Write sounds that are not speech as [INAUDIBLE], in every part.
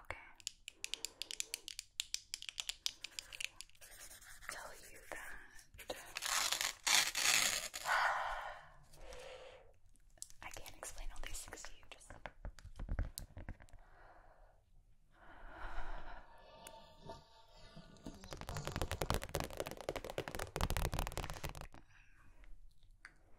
Okay. Tell you that [SIGHS] I can't explain all these things to you. Just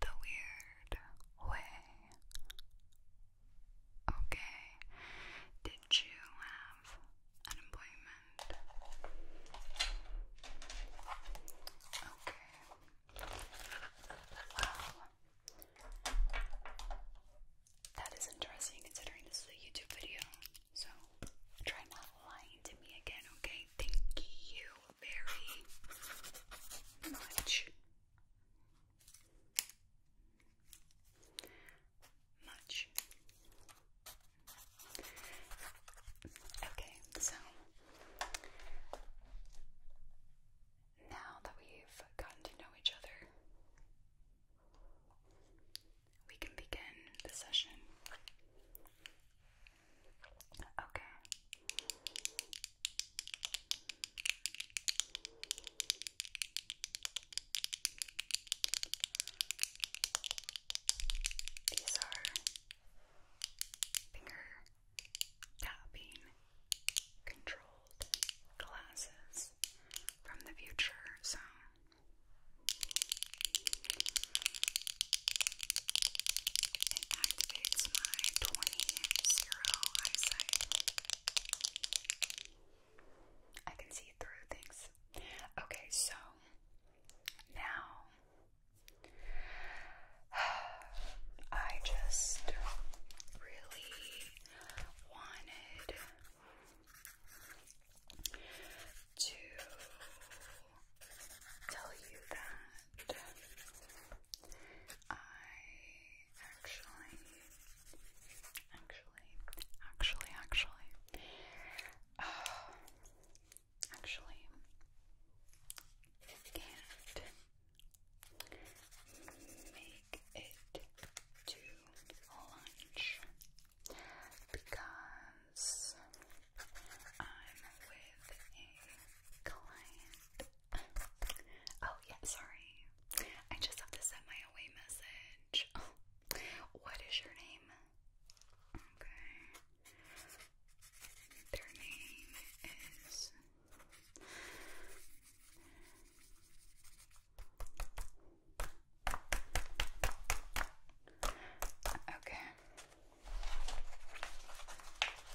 the weird way. Okay, did you have an appointment? Okay. Well, that is interesting considering this is a YouTube video. So try not lying to me again, okay? Thank you very much much. Okay, so now that we've gotten to know each other, we can begin the session. Okay, these are finger tapping controlled glasses from the future, so it activates my 20 zero eyesight. I can see through things. Okay, so now I just really wanted to tell you that I actually, actually, actually, actually, uh, actually can't make it to lunch because I'm with a client Oh, yeah, sorry. I just have to send my away message. Oh. [LAUGHS] What is your name? Okay. Their name is. Okay.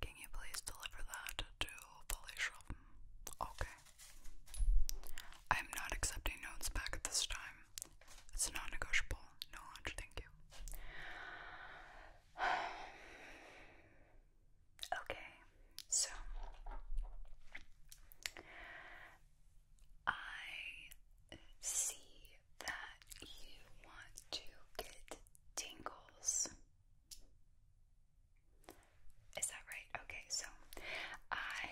Can you please deliver that to Polishov? Okay. I'm not accepting notes back at this time. It's non negotiable. No lunch, thank you. [SIGHS] Okay, so I see that you want to get tingles. Is that right? Okay, so I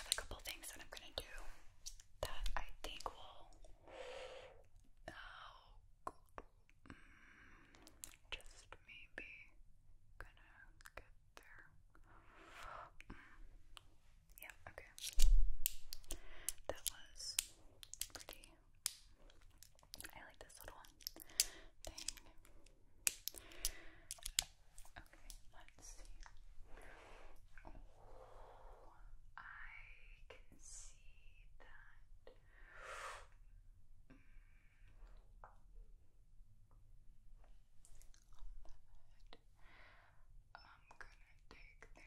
have a couple things that I'm going to do that I think will oh, just maybe gonna get there. Mm, yeah, okay. That was pretty. I like this little thing. Okay, let's see. Oh, I can see that. Mm. I'm gonna take their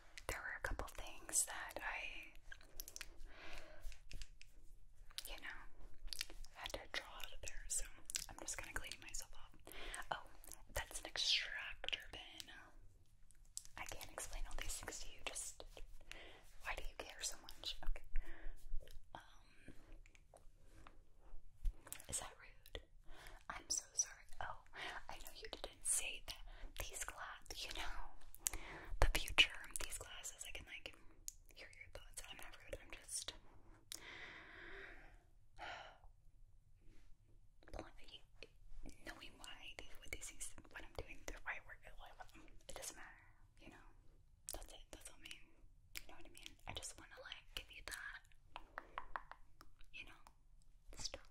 there were a couple things that I, you know, had to draw out of there, so I'm just gonna clean myself up. Oh, that's an extractor bin. I can't explain all these things to you, just why do you care so much? Okay. Um, is that rude? I'm so sorry. Oh, I know you did that these glasses, you know, the future of these glasses. I can, like, hear your thoughts. I'm not rude, I'm just [SIGHS] knowing why these, what what I'm doing, why I um, it doesn't matter, you know. That's it, that's all I You know what I mean? I just want to, like, give you that, you know, stuff.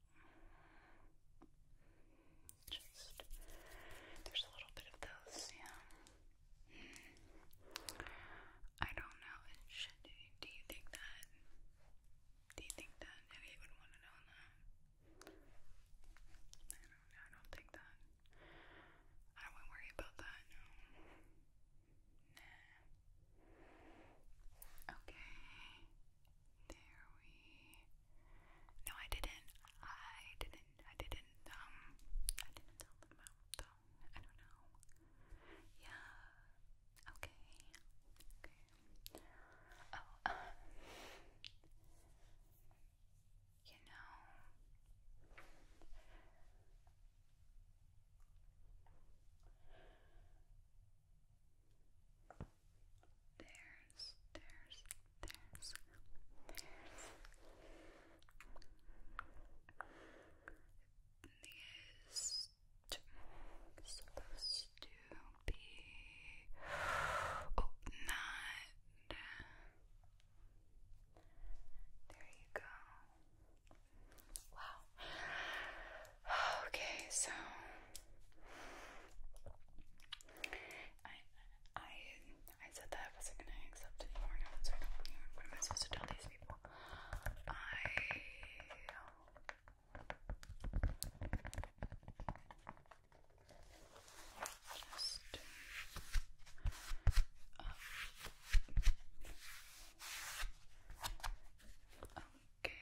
Just there's a little bit of those, yeah. Hmm. I don't know. do you, do you think that? Do you think that Eddie would want to know that? I don't I don't think that. I wouldn't worry about that. Nah. Okay. There we No I didn't. I didn't I didn't um I didn't tell them I don't know. Yeah. Okay. Okay. Oh uh, You know there's, there's, there's, there's. These supposed to be oh there you go wow [SIGHS] Okay, so I I I said that I wasn't going more notes What am I supposed to tell these people? I um, uh, Okay.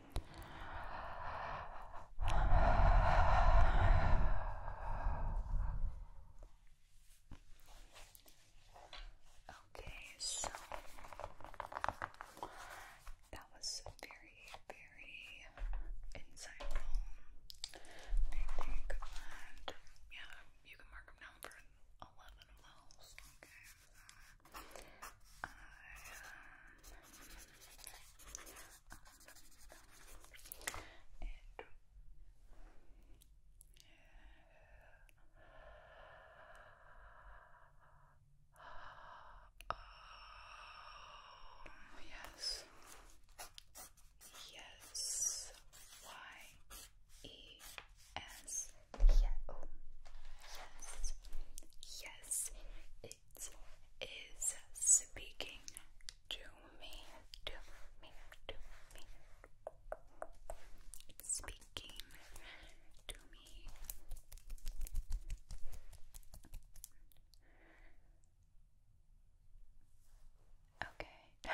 Okay, so that was very, very insightful. I think that, yeah, you can mark them down for 11 of those. Okay are um, yes. Yes. Y E S. Yeah. Yes. Yes. It is speaking to me, to me, to me. speaking to me. Okay.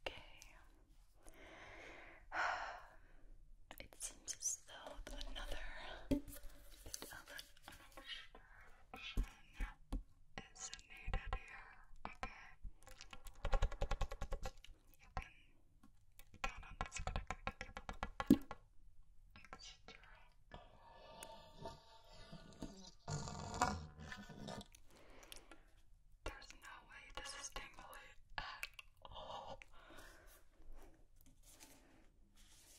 Okay. [SIGHS] It seems is another bit is needed here, okay? You can count going to give you There's no way this is tingly at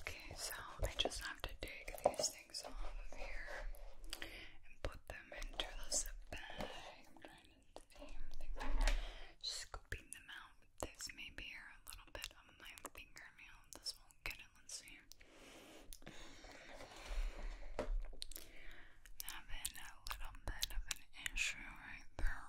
Okay, so I just have to take these things off of here and put them into this bag. scooping them out this maybe or a little bit on my fingernail. This won't get it, let's see. i a little bit of an issue right there.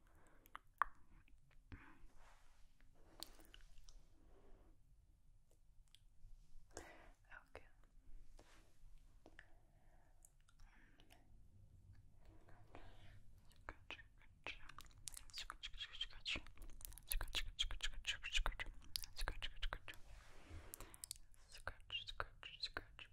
Okay. Skacz, skacz, skacz, skacz,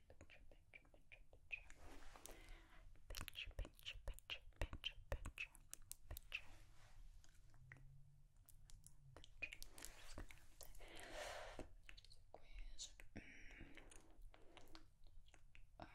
picture, picture, picture, picture, picture, picture, picture, picture, picture, picture. Just gonna have to squeeze it. Okay, and then, um, Okay. Um,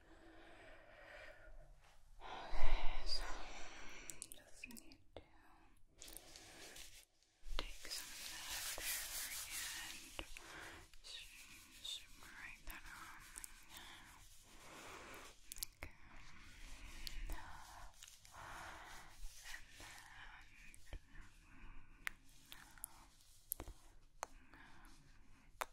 Okay, so just need to take some of that there that on Okay.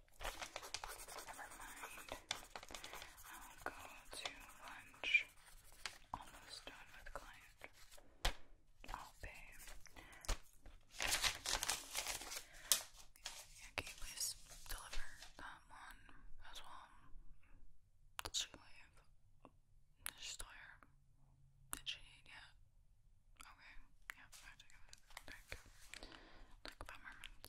Never mind. I'll go to lunch. Almost done with client. I'll oh, pay. Yeah, can you deliver that as well? Did she leave? Is she still here? Did she eat yet? Okay, yeah, I have to Like five minutes.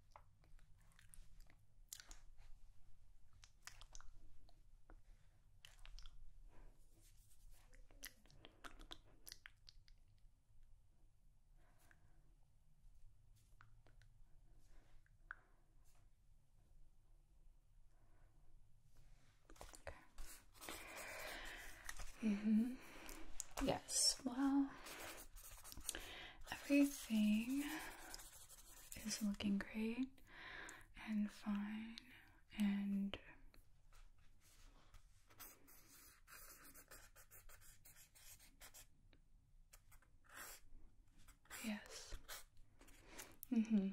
Okay. mm Yes, well, Everything is looking great and fine and yes. Mhm. Mm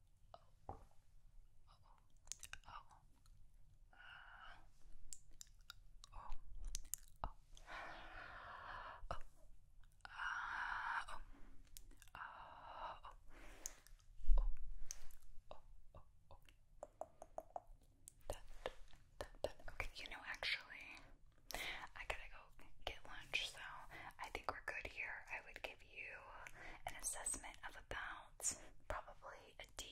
oh, Okay, you know, actually, I gotta go get lunch, so I think we're good here. I would give you an assessment of about probably a D,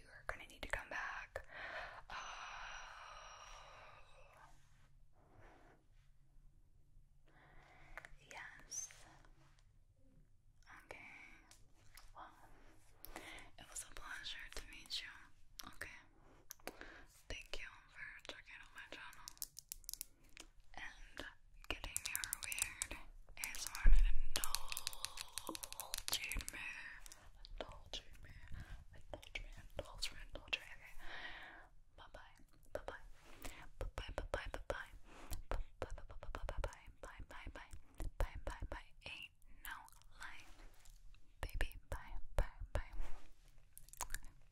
you're gonna need to come back. Uh, yes. Okay. Well, it was a pleasure to meet you. Okay. Thank you for checking out my channel and getting your weird ASMR indulging me, indulging me, indulging me, indulge me, indulge me, okay. Bye-bye, bye-bye, bye-bye, bye-bye, bye-bye, bye-bye, bye-bye, bye-bye, bye-bye, bye-bye, bye, no lie, baby, bye, bye, bye.